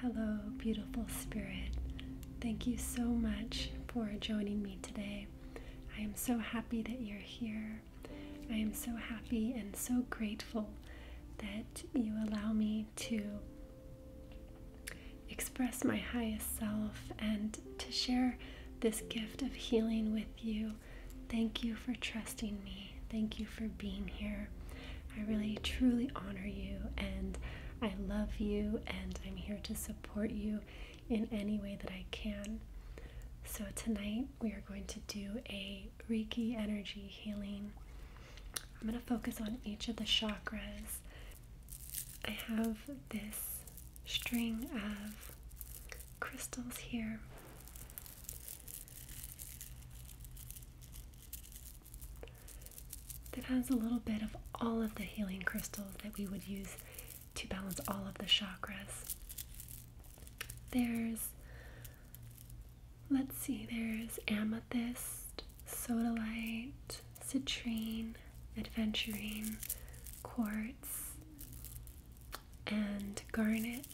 Hello, beautiful spirit. Thank you so much for joining me today. I am so happy that you're here. I am so happy and so grateful that you allow me to express my highest self and to share this gift of healing with you. Thank you for trusting me. Thank you for being here. I really truly honor you and I love you, and I'm here to support you in any way that I can. So, tonight we are going to do a Reiki energy healing. I'm going to focus on each of the chakras. I have this string of crystals here. That has a little bit of all of the healing crystals that we would use to balance all of the chakras. There's Let's see, there's amethyst, sodalite, citrine, aventurine, quartz, and garnet.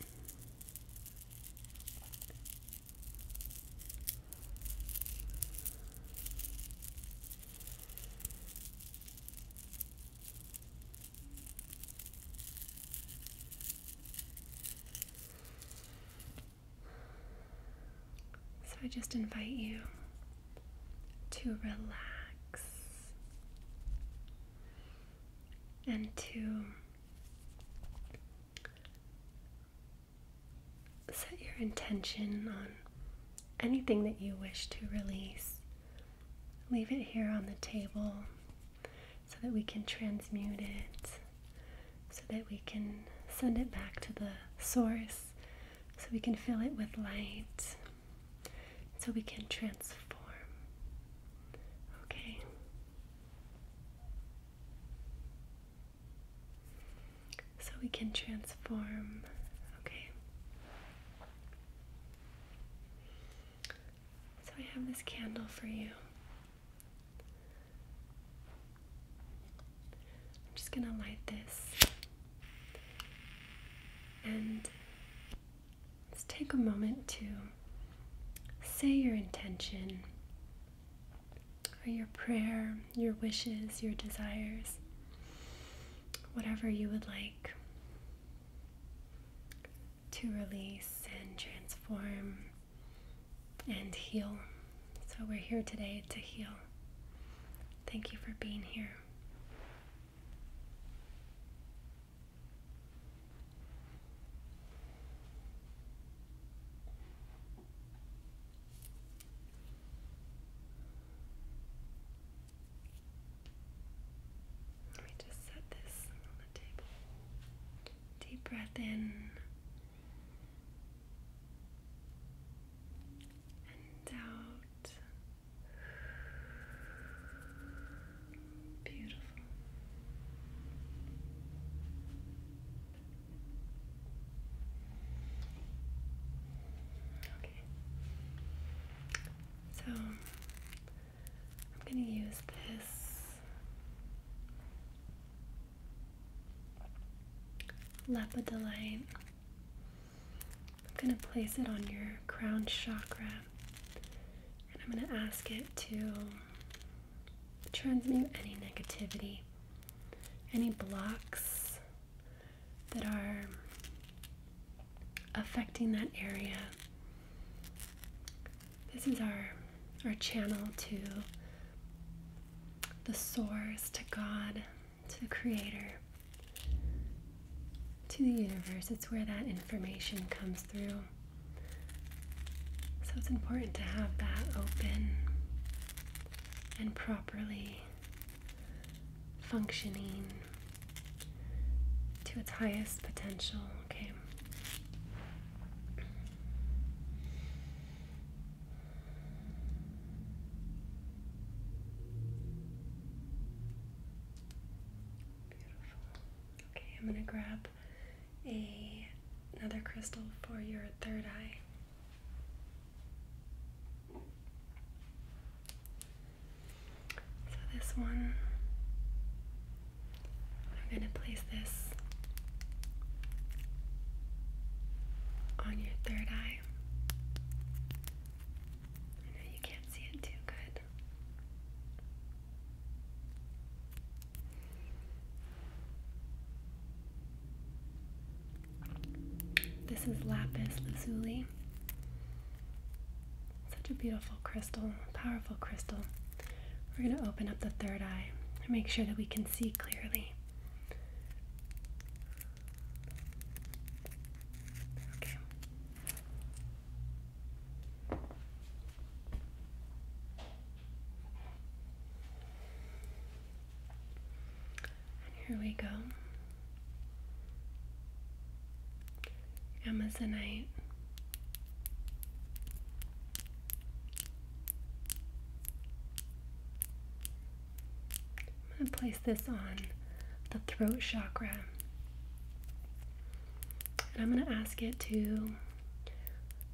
So I just invite you to relax and to set your intention on anything that you wish to release. Leave it here on the table so that we can transmute it, so that we can send it back to the source, so we can fill it with light, so we can transform. Okay. So we can transform. Okay. So I have this candle for you. I'm just going to light this and let's take a moment to say your intention or your prayer, your wishes, your desires, whatever you would like to release and transform and heal. So we're here today to heal. Thank you for being here. Let me just set this on the table. Deep breath in and out. Beautiful. Okay. So I'm going to use this Lepidolite. I'm going to place it on your crown chakra and I'm going to ask it to transmute any negativity, any blocks that are affecting that area this is our our channel to the source, to God, to the creator, to the universe. It's where that information comes through. So it's important to have that open and properly functioning to its highest potential, okay? Okay, I'm going to grab a another crystal for your third eye. So this one I'm going to place this on your third eye. I know you can't see it too good. This is lapis lazuli. Such a beautiful crystal, powerful crystal. We're going to open up the third eye and make sure that we can see clearly. Okay. here we go. Amazonite I'm going to place this on the throat chakra. And I'm going to ask it to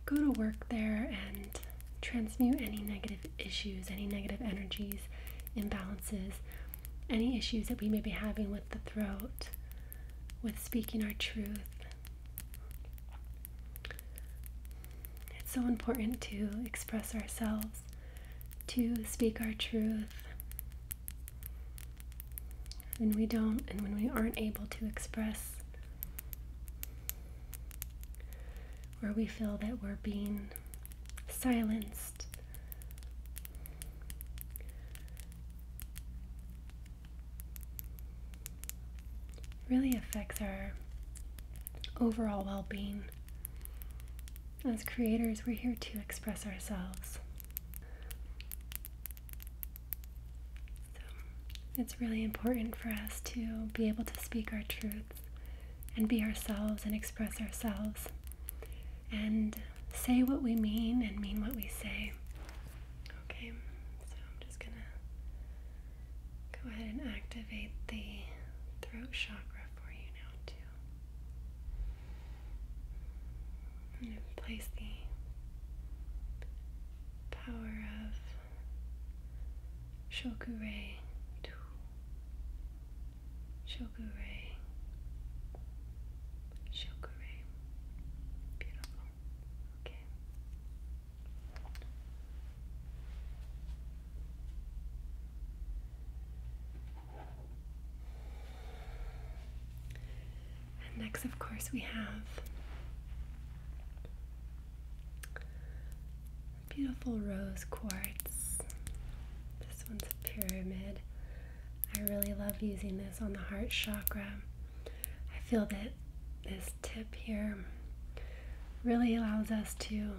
go to work there and transmute any negative issues, any negative energies, imbalances, any issues that we may be having with the throat, with speaking our truth, it's so important to express ourselves, to speak our truth. When we don't and when we aren't able to express, where we feel that we're being silenced, really affects our overall well being. As creators, we're here to express ourselves. it's really important for us to be able to speak our truths and be ourselves and express ourselves and say what we mean and mean what we say. Okay, so I'm just gonna go ahead and activate the throat chakra for you now, too. i place the power of Shokurei, Shokurei, Shokurei. Beautiful next, of course, we have beautiful rose quartz. This one's a pyramid. I really love using this on the heart chakra. I feel that this tip here really allows us to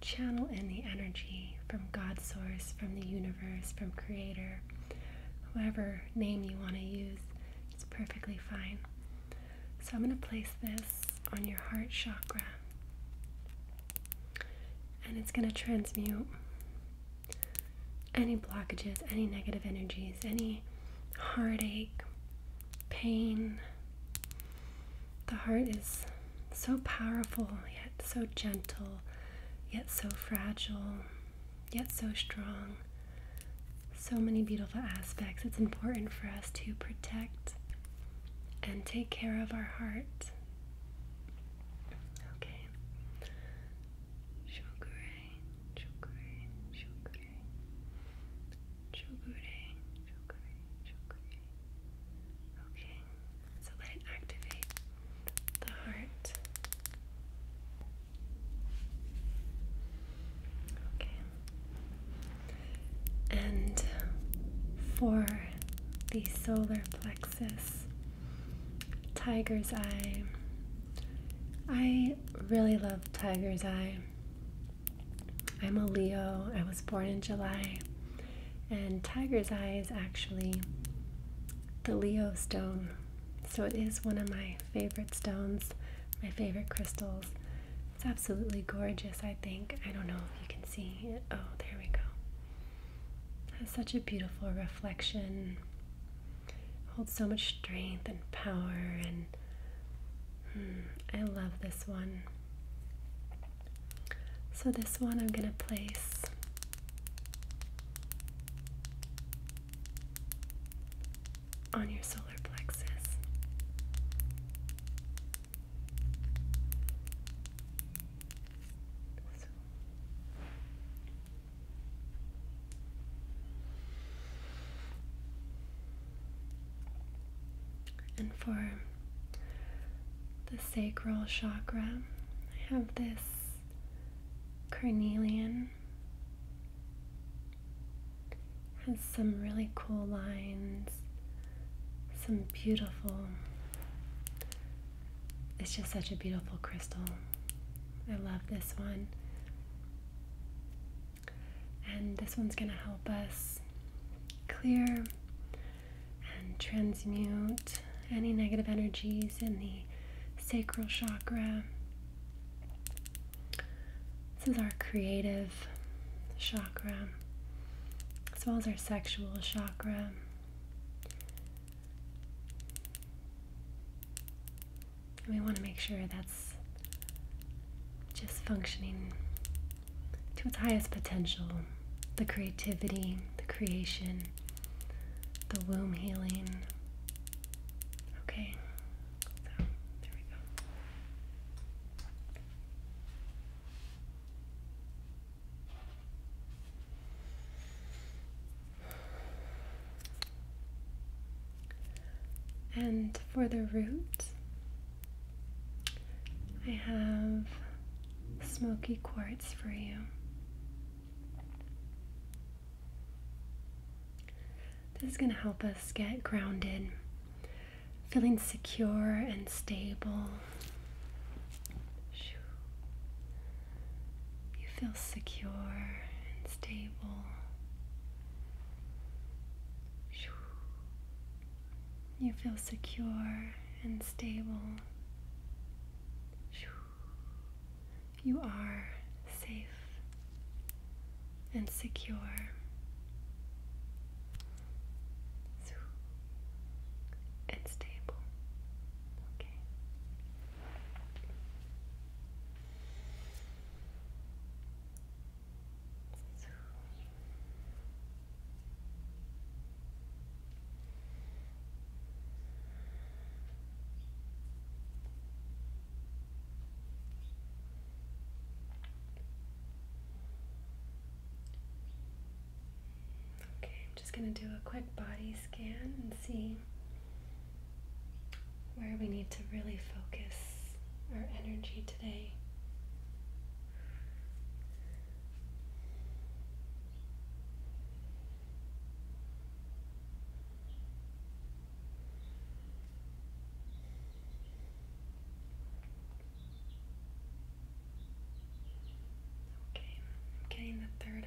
channel in the energy from God source, from the universe, from Creator, whatever name you want to use, it's perfectly fine. So I'm going to place this on your heart chakra and it's going to transmute any blockages, any negative energies, any heartache, pain. The heart is so powerful, yet so gentle, yet so fragile, yet so strong. So many beautiful aspects. It's important for us to protect and take care of our heart. Okay. Shogure, Shogure, Shogure, Shogure, Shogure, Shogure. Okay, so let it activate the heart. Okay. And for the solar plexus, Tiger's Eye. I really love Tiger's Eye. I'm a Leo. I was born in July. And Tiger's Eye is actually the Leo stone. So it is one of my favorite stones, my favorite crystals. It's absolutely gorgeous, I think. I don't know if you can see it. Oh, there we go. has such a beautiful reflection holds so much strength and power and hmm, I love this one. So this one I'm going to place on your solar plexus. And for the sacral chakra, I have this carnelian. Has some really cool lines, some beautiful. It's just such a beautiful crystal. I love this one. And this one's going to help us clear and transmute any negative energies in the sacral chakra. This is our creative chakra, as well as our sexual chakra. And we want to make sure that's just functioning to its highest potential the creativity, the creation, the womb healing. Okay, there we go. And for the root, I have smoky quartz for you. This is going to help us get grounded, feeling secure and stable. You feel secure and stable. You feel secure and stable. You are safe and secure. and stable. Okay. Okay, I'm just going to do a quick body scan and see where we need to really focus our energy today. Okay, I'm getting the third eye.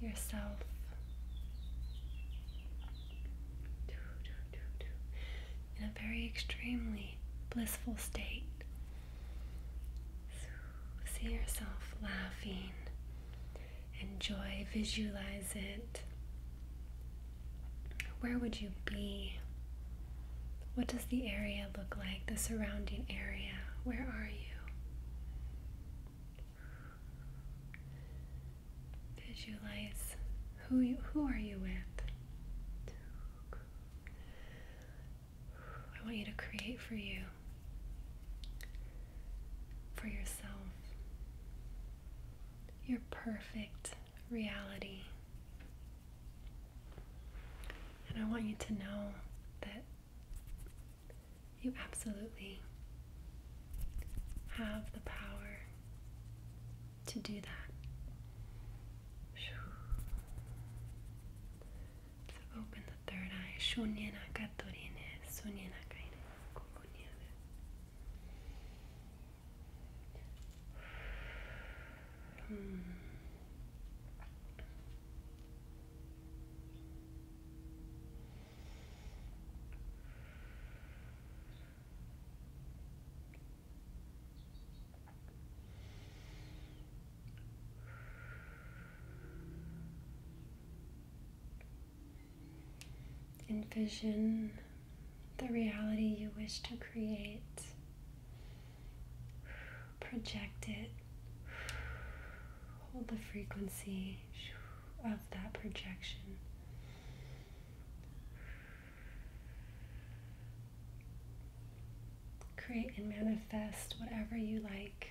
yourself. In a very extremely blissful state. See yourself laughing. Enjoy, visualize it. Where would you be what does the area look like, the surrounding area? Where are you? Visualize who you, who are you with? I want you to create for you, for yourself, your perfect reality. And I want you to know that you absolutely have the power to do that. open the third eye. Envision the reality you wish to create Project it. Hold the frequency of that projection. Create and manifest whatever you like.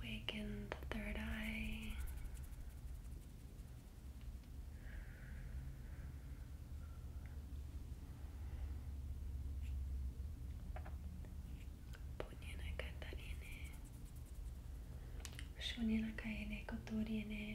Awaken the third eye. Punyana Katarine. Shunina Kaine Koturine.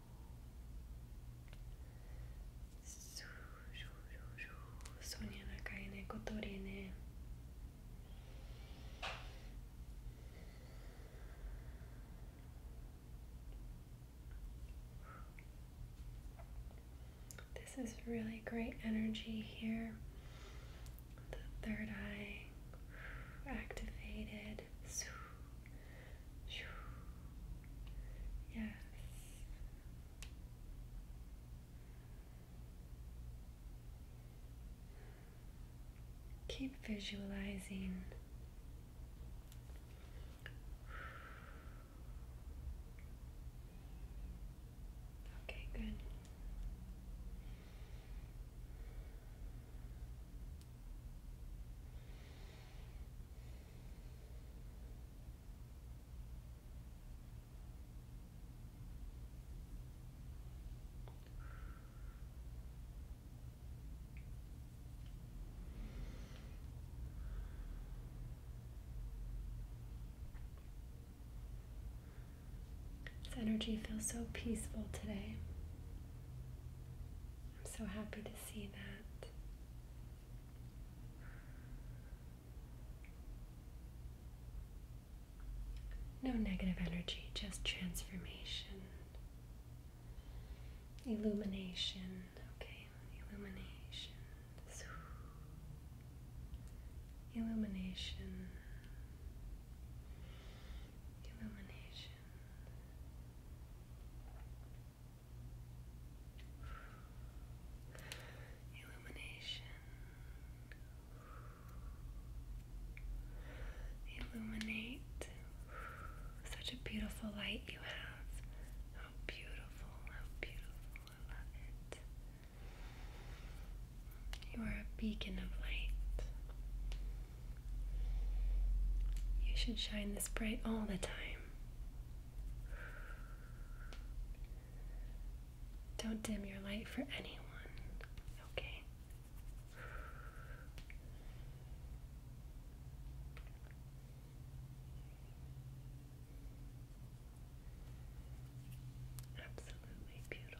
This is really great energy here. The third eye activated. Yes. Keep visualizing. Okay, good. This energy feels so peaceful today. I'm so happy to see that. No negative energy, just transformation, illumination. Okay, illumination, illumination, illumination. Illumination. Illuminate. Such a beautiful light you have. How beautiful, how beautiful. I love it. You are a beacon of light. You should shine this bright all the time. Don't dim your light for anyone, okay? Absolutely beautiful.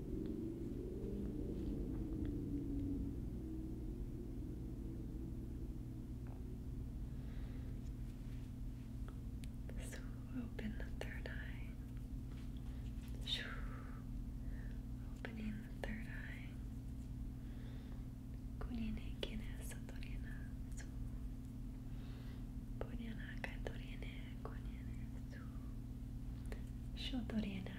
This will open the third eye. Shoo. Opening the third eye. Kunine kine satorina su. Punyana katorine kunine su. Shotorina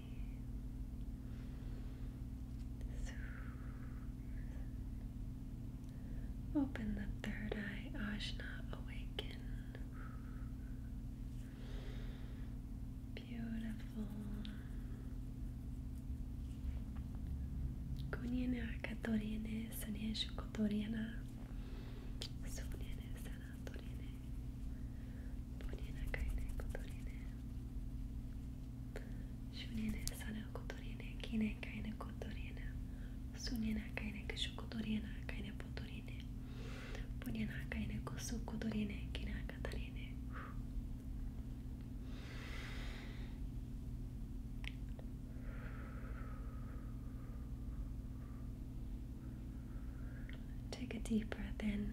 Open the third eye, Ajna, awaken. Beautiful. Kunyana katorine saneshu kotoriana. Sunene sanatorine. Punyana kaine kotorine. Şunene sana kotorine, kine kayne kotorine, sunena kayne kışu kotorine, kayne potorine, punena kayne kine katarine. Take a deep breath in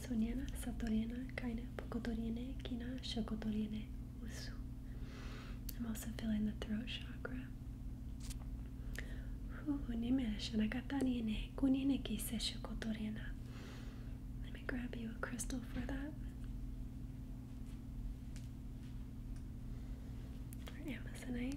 Soniana, Satoriana, Kaina, Pokotoriene, Kina, Shokotoriene, Usu. I'm also feeling the throat chakra. Let me grab you a crystal for that. Amazonite.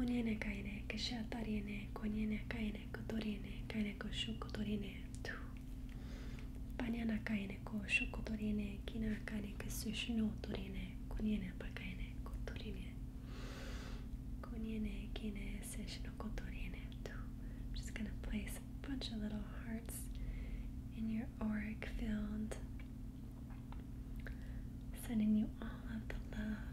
Onyeneka eneka, sátar eneka, onyeneka eneka, toreneka, eneka, sokotoreneka. Panyanaka eneka, sokotoreneka, kinaka eneka, szűsnótoreneka, onyenepaka eneka, toreneka. Onyeneka eneka, tu. I'm just gonna place a bunch of little hearts in your auric field, sending you all of the love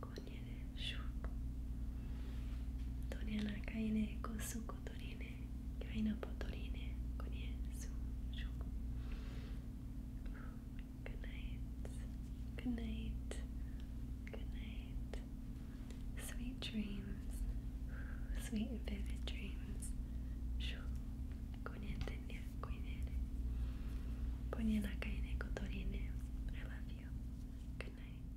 konjene shuku Torina kaine kosuku torine kaina potorine konye su shuku Good night, good night, good night Sweet dreams, sweet and vivid dreams Shu konete ne koinere Konye na kaine I love you. Good night.